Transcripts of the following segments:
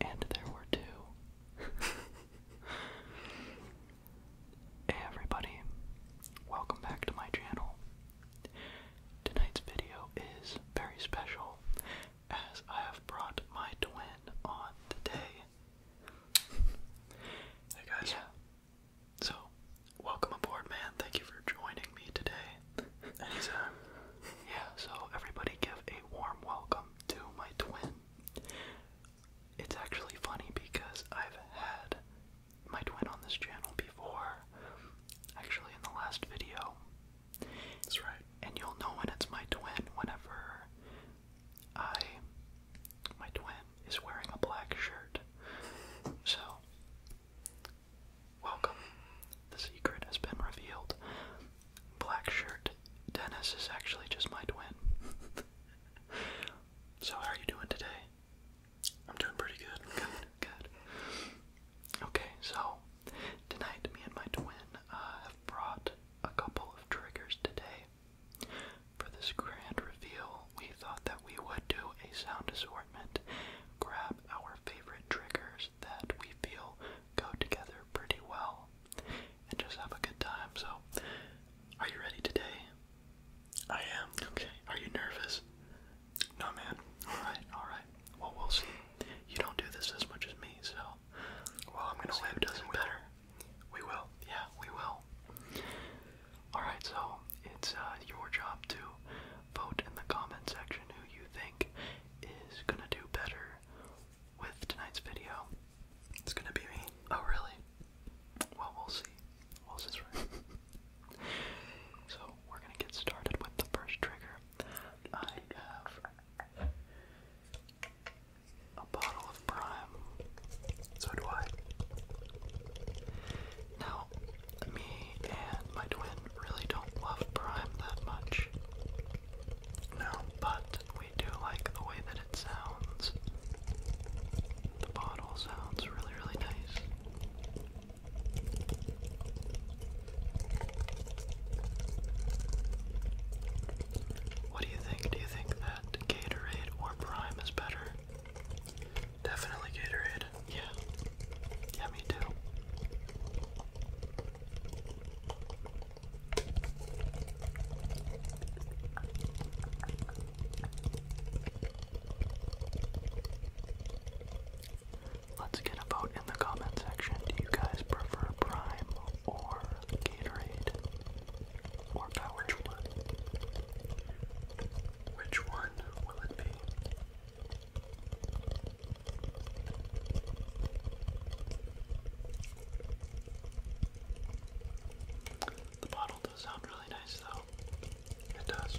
And there were two. everybody, welcome back to my channel. Tonight's video is very special as I have brought my twin on today. Hey guys. So, welcome aboard, man. Thank you for joining me today. yeah, so everybody give a warm welcome to my twin. It's actually funny because I've had my twin on this channel before, actually, in the last video. That's right. And you'll know when it's my twin whenever I my twin is wearing a black shirt. So, welcome. The secret has been revealed. Black shirt. Dennis is actually just my twin. so, how are you doing today? I'm doing pretty good. Good, good. Okay, so tonight me and my twin uh, have brought a couple of triggers today. For this grand reveal, we thought that we would do a sound assortment, grab our favorite triggers that we feel go together pretty well, and just have a good time. So, are you ready today? I am. Okay. Are you nervous? No, man. Alright, alright. Well, we'll see. You don't do this as much as me, so. Well, I'm gonna see who does not better. We will. Yeah, we will. Alright, so it's uh, your job to vote in the comment section who you think is gonna do better with tonight's video. It's gonna be me. Oh, really? Well, we'll see. We'll see. so, we're gonna get started with the first trigger. I have a bottle of Prime. So do I. Now, me and my twin really don't love Prime that much. No, but we do like the way that it sounds. The bottle sounds really, really nice. What do you think? Do you think Gatorade or Prime is better. Definitely Gatorade. Yeah. Yeah, me too. Let's get a vote in the comment section. Do you guys prefer Prime or Gatorade? Or power tool. Which one will it be? The bottle does sound really nice, though. It does.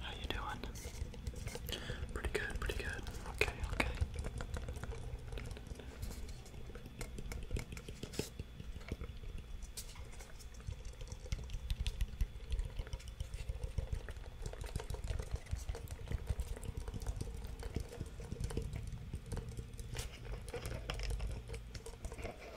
How you doing? Pretty good, pretty good. Okay, okay.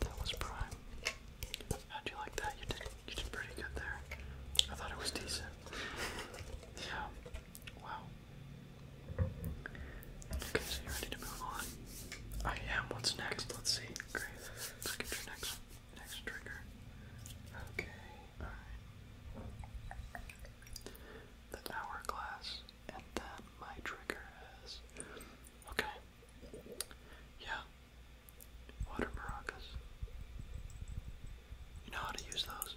That was prime. How'd you like that? You did you did pretty good there. I thought it was decent. yeah. Wow. Okay, so you ready to move on? I am. What's next? Let's see. Let's get your next one next trigger. Okay, alright. The hourglass, and then my trigger is. Okay. Yeah. Water maracas. You know how to use those.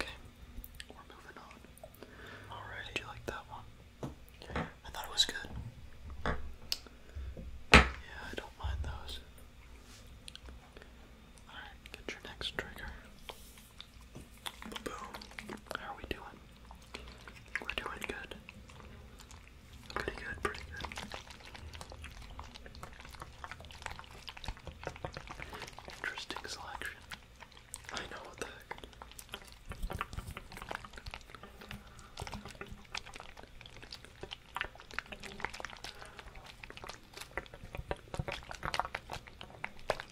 Okay, we're moving on. Alright. Did you like that one? I thought it was good. Yeah, I don't mind those. Alright, get your next trigger. Boom. How are we doing? We're doing good. Pretty good, pretty good. Interesting selection. I know what the heck.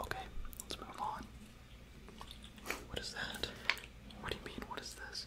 Okay, let's move on. What is that? What do you mean, what is this?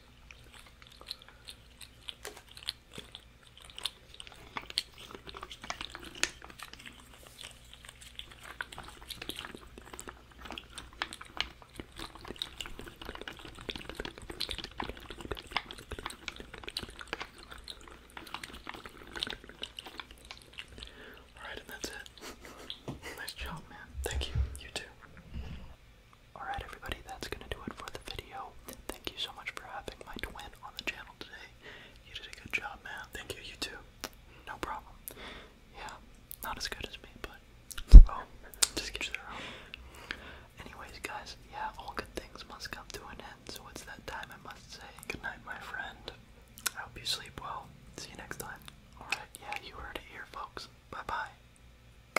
Alright, and that's it. nice job, man. Thank you. You too. Alright, everybody, that's going to do it for the video. Thank you so much for having my twin on the channel today. You did a good job, man. Thank you, you too. No problem. Yeah, not as good as me, but. Oh, just get their own. Anyways, guys, yeah, all good things must come to an end, so it's that time I must say goodnight, my friend. I hope you sleep well. See you next time. Alright, yeah, you heard it here, folks. Bye bye.